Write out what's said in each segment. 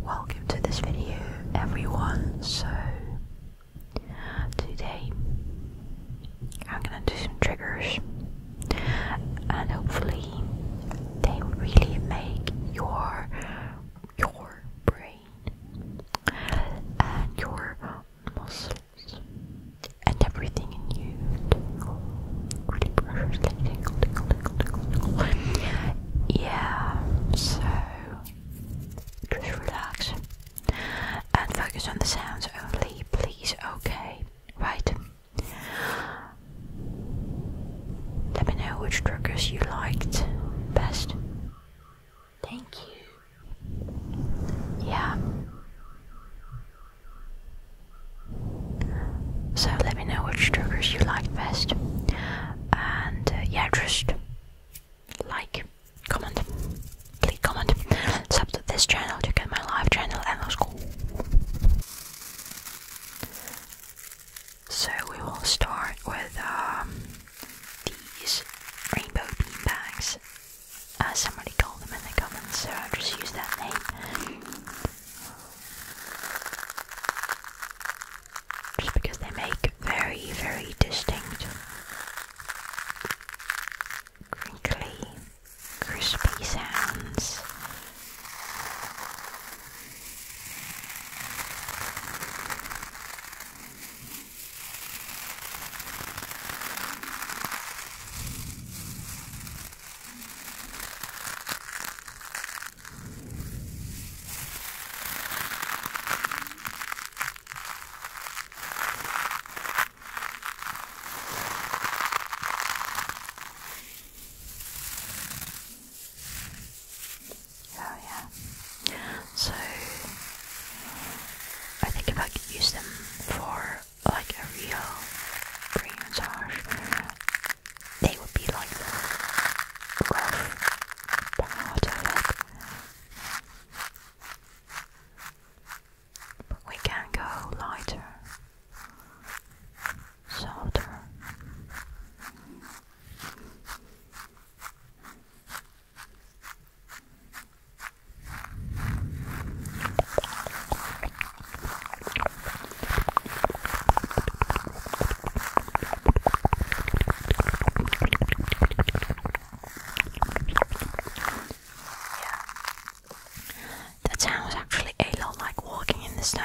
Welcome to this video everyone. So today I'm gonna do some triggers and hopefully they really make your your brain and your muscle and everything in you tingle, really preciously tingle, tingle, tingle, tingle, Yeah, so just relax and focus on the sounds only, please. Okay, right. Let me know which triggers you liked best. Thank you. Yeah. So let me know which triggers you like best. And uh, yeah, just like, comment, please comment, subscribe to this channel to get my live channel and those cool. So we will start with um, these rainbow bean bags uh, somebody told them in the comments, so I'll just use that name. Just because they make very, very distinct, crinkly, crispy sounds. Oh yeah. So I think if I could use them for like a real cream massage, they would be like the rough part of it. But we can go lighter, softer. That sounds actually a lot like walking in the snow.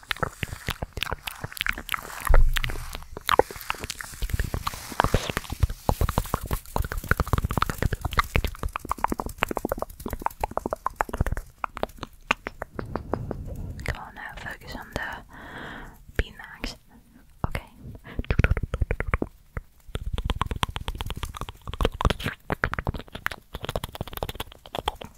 Gewoon nou uh, focus on the beanbags. Oké. Okay.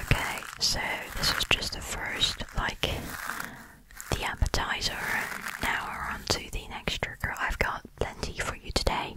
Okay, so this was just the first, like the appetizer. Now we're on to the next trigger. I've got plenty for you today.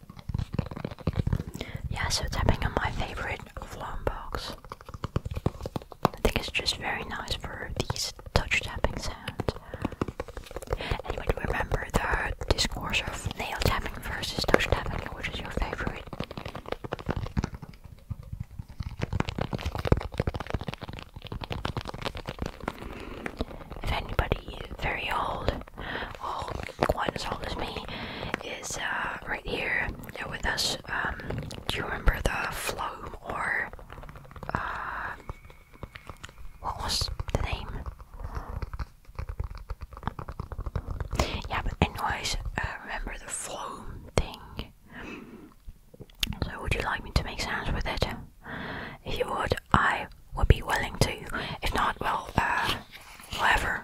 Yeah, so tapping on my favorite vlog box. I think it's just very nice for these touch tapping sounds. Anyone remember the discourse of nail tapping versus touch tapping? Which is your favorite? If anybody very old Oh, quite as old as me is uh, right here with us. Um, do you remember the Floam or uh, what was the name? Yeah, but anyways, uh, remember the Floam thing. So would you like me to make sounds with it? If you would, I would be willing to. If not, well, uh, whatever.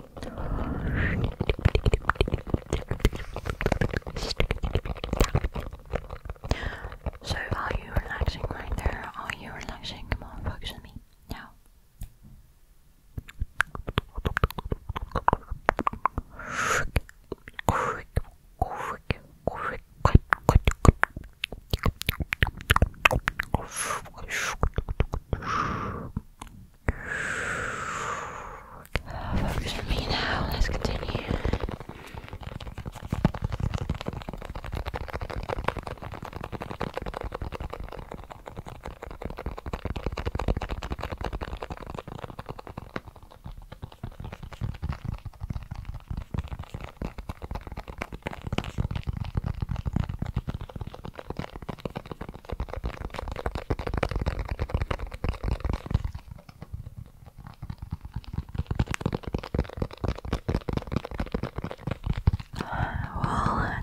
So are you relaxing right there? Are you relaxing? Come on, focus on me. Now. Focus on me now, let's continue. Well,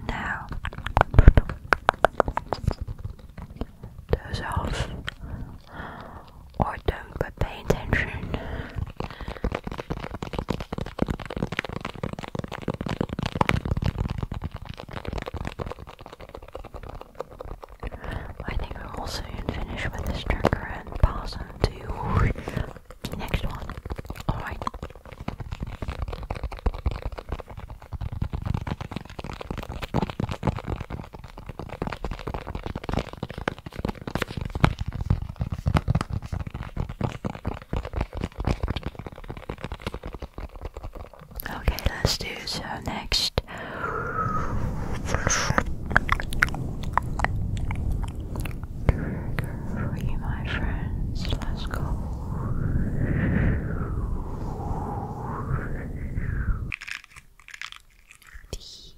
now doze off or don't but pay attention. I think we'll also finish with this drinker and pass on to next one. Alright. Okay, let's do so next. Trigger free, my friends. Let's go. These.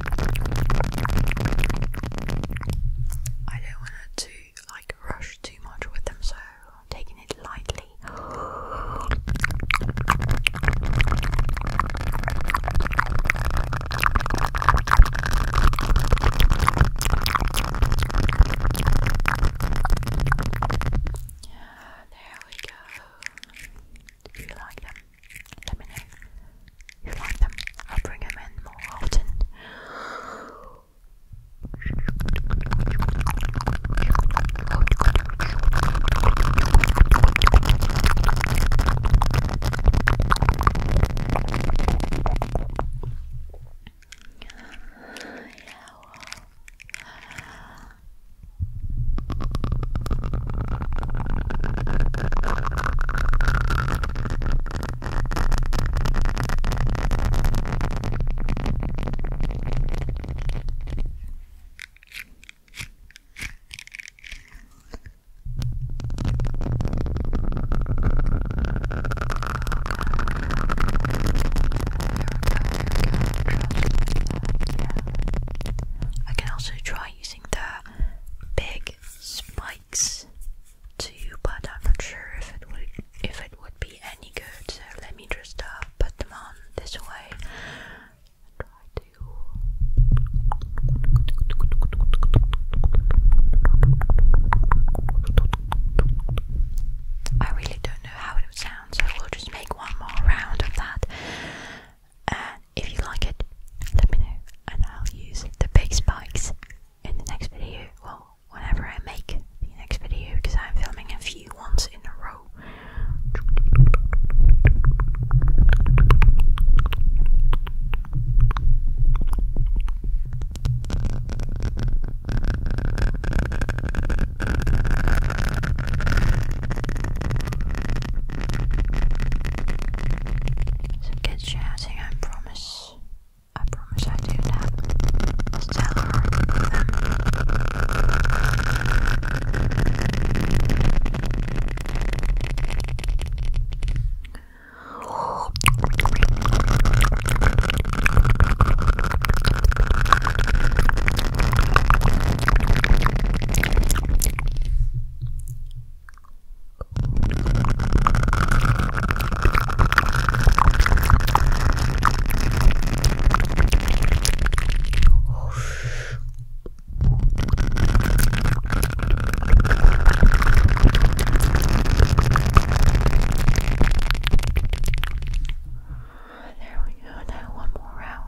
I don't want to like rush too much with them, so I'm taking it lightly. There we go. Do you like them? Let me know if you like them. I'll bring them in more often. Yeah, well. I can also try using the big spikes to you, but I'm not sure if it would if it would be any good. So let me just uh, put them on this way. Try to. I really don't know how it would sound, so we'll just make one more round of that if you like it, let me know, and I'll use the big spikes in the next video. Well, whenever I make the next video, because I'm filming a few ones in a row. So get started shouting, I promise. I promise I do that. Stellar with them. There we go. Now one more round.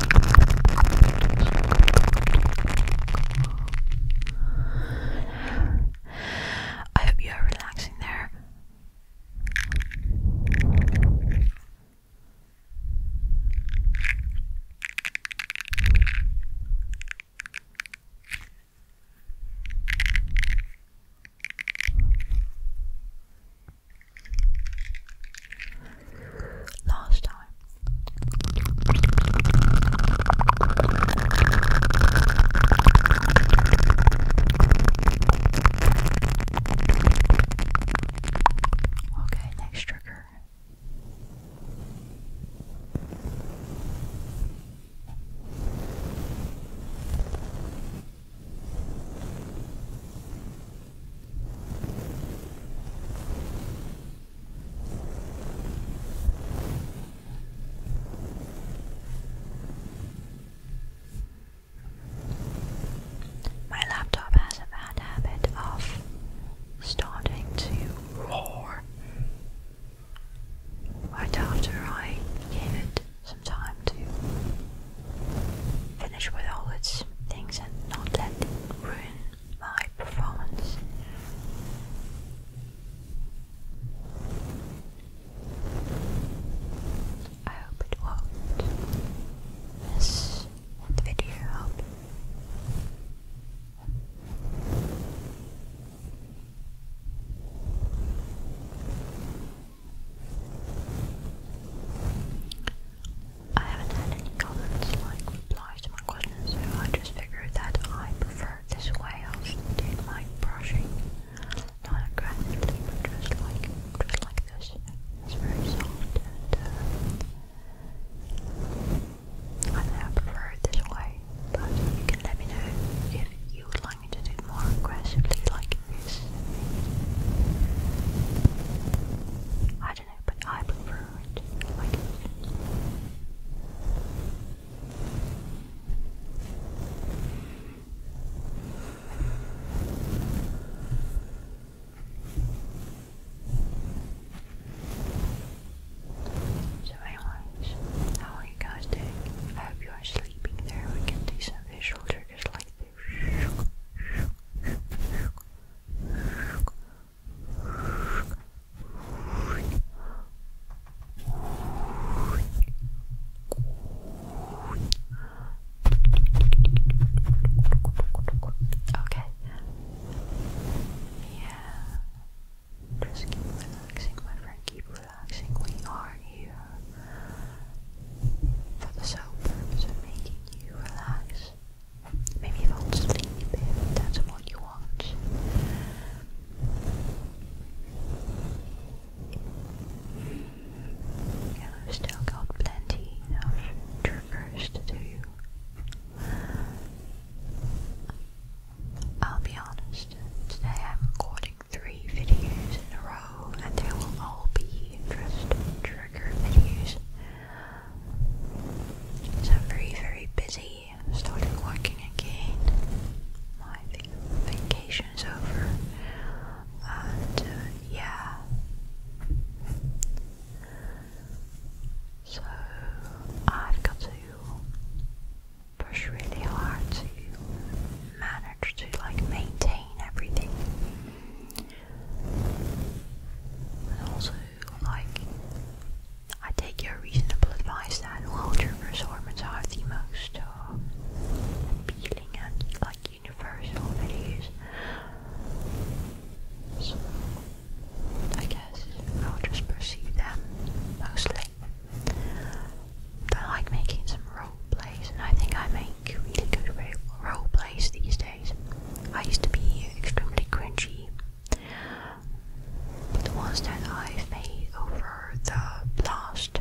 I hope you are relaxing there last time. Okay, next trigger. My laptop has a bad habit of starting to roar right after I gave it some time to finish with all its things and not let it ruin my performance. I hope it won't miss that video up. I haven't had any comments like replies to my questions, so I just figured that I prefer this way of doing my brushing. Not aggressively, but just like, just like this. It's very soft and uh, I know I prefer it this way, but you can let me know if you would like to do it more aggressively like this. I prefer So anyways, how are you guys doing? I hope you are sleeping there. We can do some visual triggers like this. Okay. Yeah. Just keep relaxing, my friend. Keep relaxing. We are here for the sole purpose of making you relax. Maybe fall asleep if that's what you want. Yeah, I've still got plenty of triggers to do. I'll be honest, today I'm recording three videos in a row and they will all be just trigger videos. I'm very, very busy. Starting working again. My vacation's over, and uh, yeah. So I've got to push really hard to manage to like maintain everything. And also, like, I take your reasonable advice that all turbo assortments are the most uh, appealing and, like, universal videos. So, I guess I'll just perceive them mostly. I like making some role plays, and I think I make really good role plays these days. I used to be extremely cringy, but the ones that I've made over the last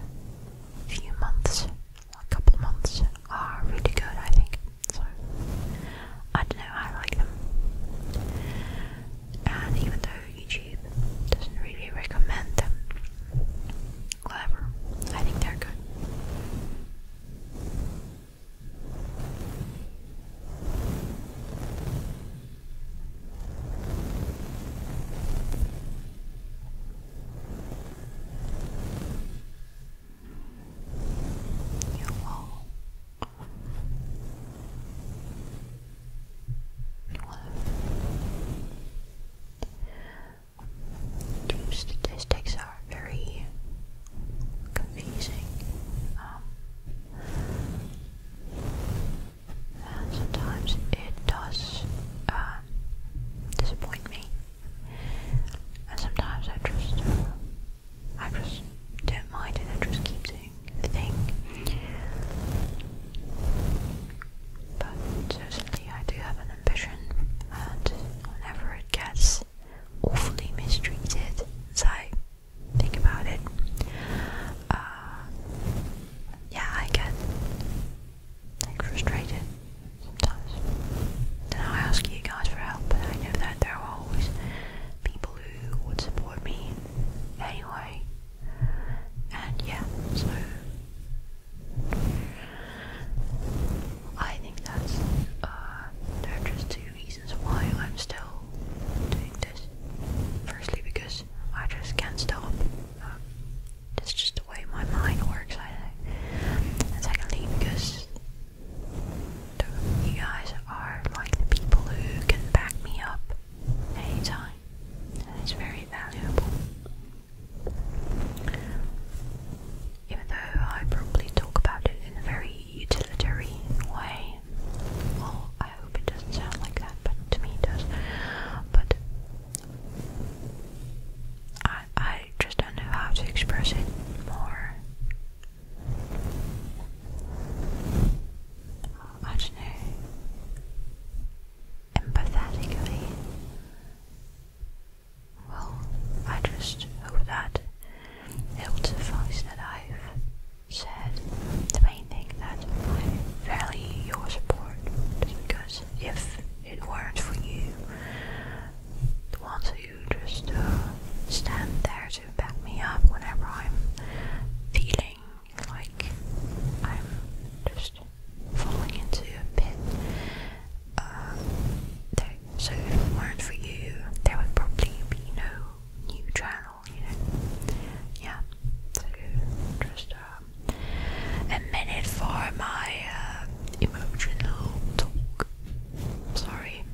few months, a couple months, are really good, I think. So I don't know, how I like them. And even though YouTube doesn't really recommend them, whatever, I think they're good your wall. Dream statistics are very confusing um, and sometimes it does um, disappoint me and sometimes I just I just don't mind it, I just keep doing the thing but certainly I do have an ambition and whenever it gets awfully mistreated it's think about it. Uh, yeah, I get frustrated sometimes. Then I ask you guys for help, I know that there are always people who would support me anyway. And yeah, so I think that's uh, reasons why I'm still doing this. Firstly, because I just can't stop. Um, just the way my mind works, I secondly, because you guys are like the people who can back me up anytime. And it's very valuable. Even though I probably talk about it in a very utilitarian way. Well, I hope it doesn't sound like that, but to me does. But I I just don't know how to express it more. I don't know. Empathetically. Well, I just hope that Hilde thinks that I've said the main thing that I value your support because if it weren't for you, the ones who just uh, stand there to back me up whenever I'm feeling like I'm just falling into a pit. Uh, so if it weren't for you, there would probably be no new channel, you know. Yeah. just um, a minute for my uh, emotional talk. Sorry.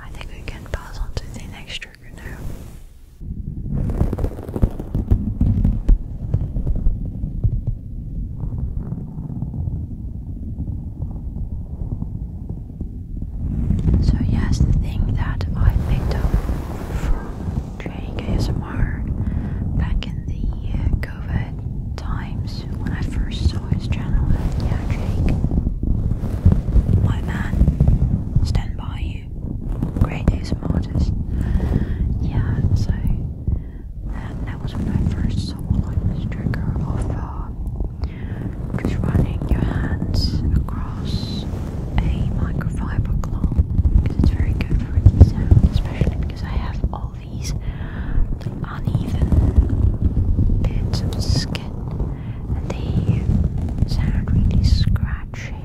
I think we can pass on to the next trigger now. So yes, the thing that I picked up from training ASMR back in the uh, COVID times when I first saw his channel, yeah Jake, my man, stand by you, great ASMR artist, yeah, so that was when I first saw like this just running your hands across a microfiber cloth because it's very good for its especially because I have all these uneven bits of skin and they sound really scratchy.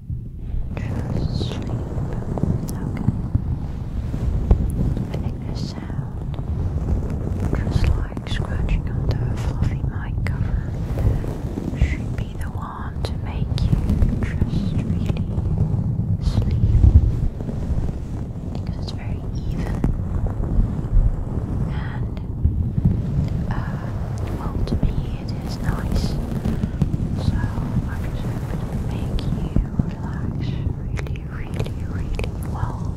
Just sleep. Okay. I think sound just like scratching on the fluffy mic cover should be the one to make you just really sleep. Because it's very even and uh well to me it is nice. So, I said, make you relax really, really, really well.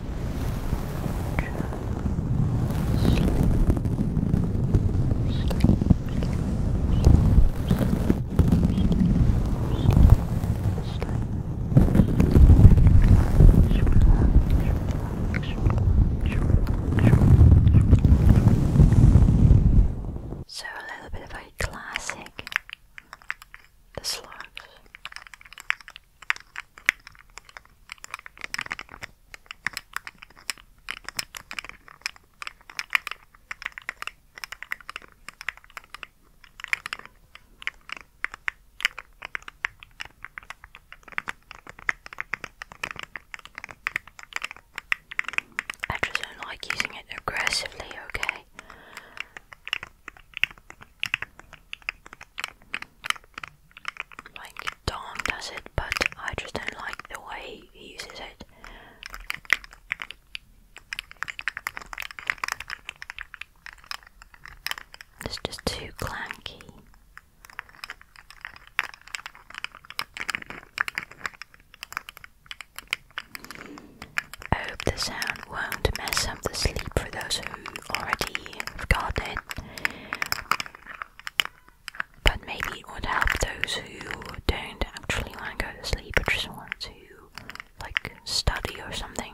So a little bit of a classic the slugs. I just don't like using it aggressively, okay? Like Tom does but I just don't like the way he uses it. It's just too clanky. hope the sound won't mess up the sleep for those who already i But maybe it would help those who don't actually want to go to sleep but just want to like study or something.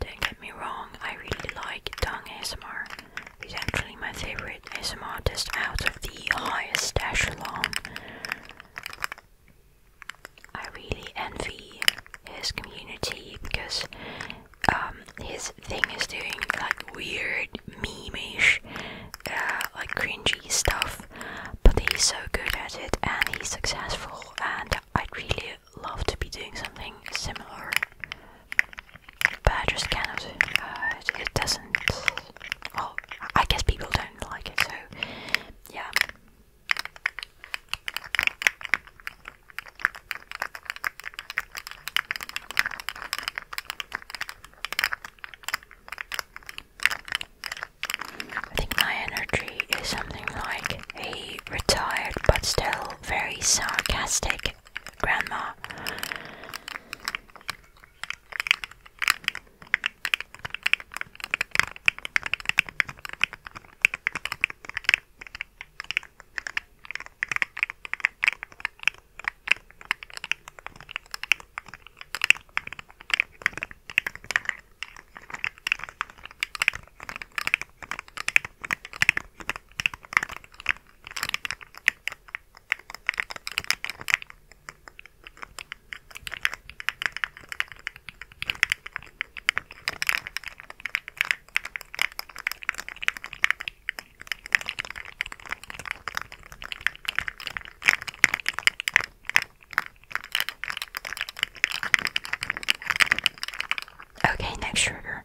Don't get me wrong, I really like tongue ASMR. He's actually my favorite ASMR artist out of the highest echelon. I really envy his community because um, his thing is doing like weird memeish, uh, like cringy stuff, but he's so good at it and he's successful, and I'd really love to be doing something similar but I just cannot. Uh, it doesn't. Well, I guess people don't like it, so yeah. I think my energy is something like a retired but still very sarcastic grandma. Okay, next trigger.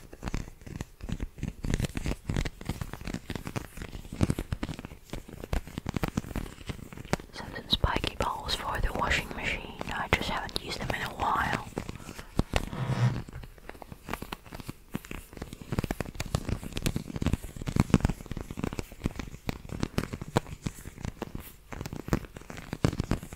Some spiky balls for the washing machine. I just haven't used them in a while.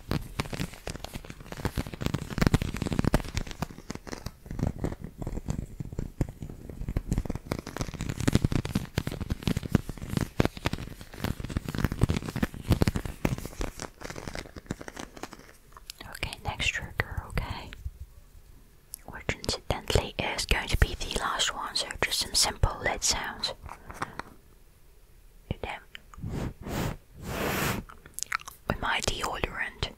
Okay, next trigger, okay? Which incidentally is going to be the last one, so just some simple lead sounds. Damn with my deodorant.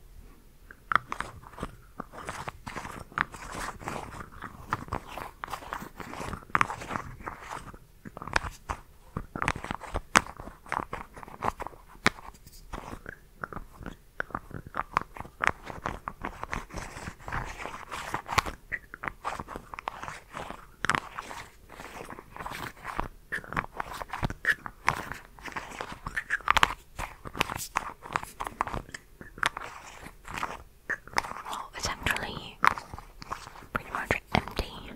Oh, it's actually pretty much empty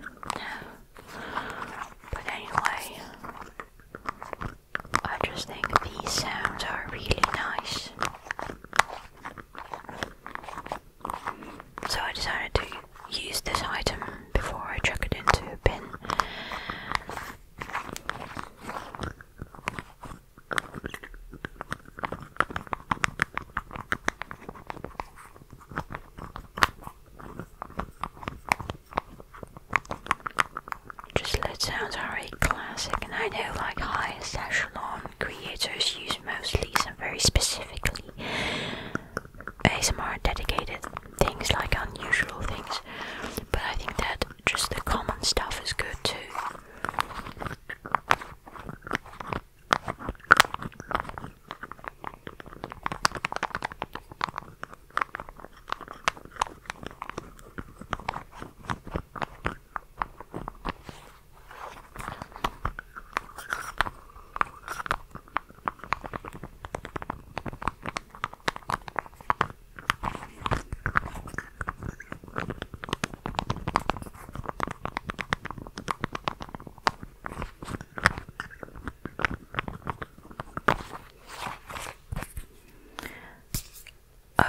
But anyway, I just think these sounds are really nice. So I decided to Use this item before I chuck it into a bin. Just let sounds are a classic, and I know like highest echelon creators use mostly and very specifically ASMR dedicated things, like unusual things, but I think that just the common stuff is good too.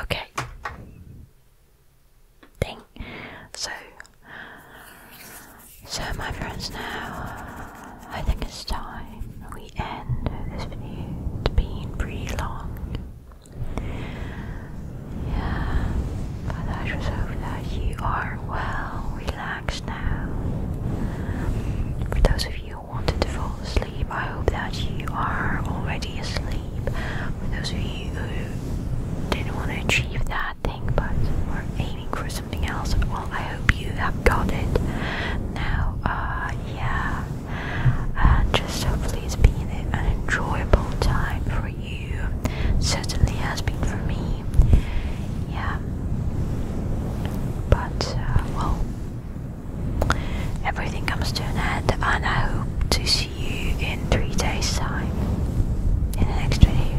Okay. Ding. So, so my friends now I think it's time we end this video. It's been pretty long. Yeah, but I just hope that you are well relaxed now. For those of you who wanted to fall asleep, I hope that you are already asleep. For those of you who didn't want to achieve that thing but were aiming for something else. Well, I hope you have got it. Now, uh, yeah, uh, just hopefully it's been an enjoyable time for you. Certainly has been for me. Yeah. But, uh, well, everything comes to an end, and I hope to see you in three days' time in the next video.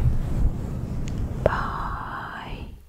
Bye.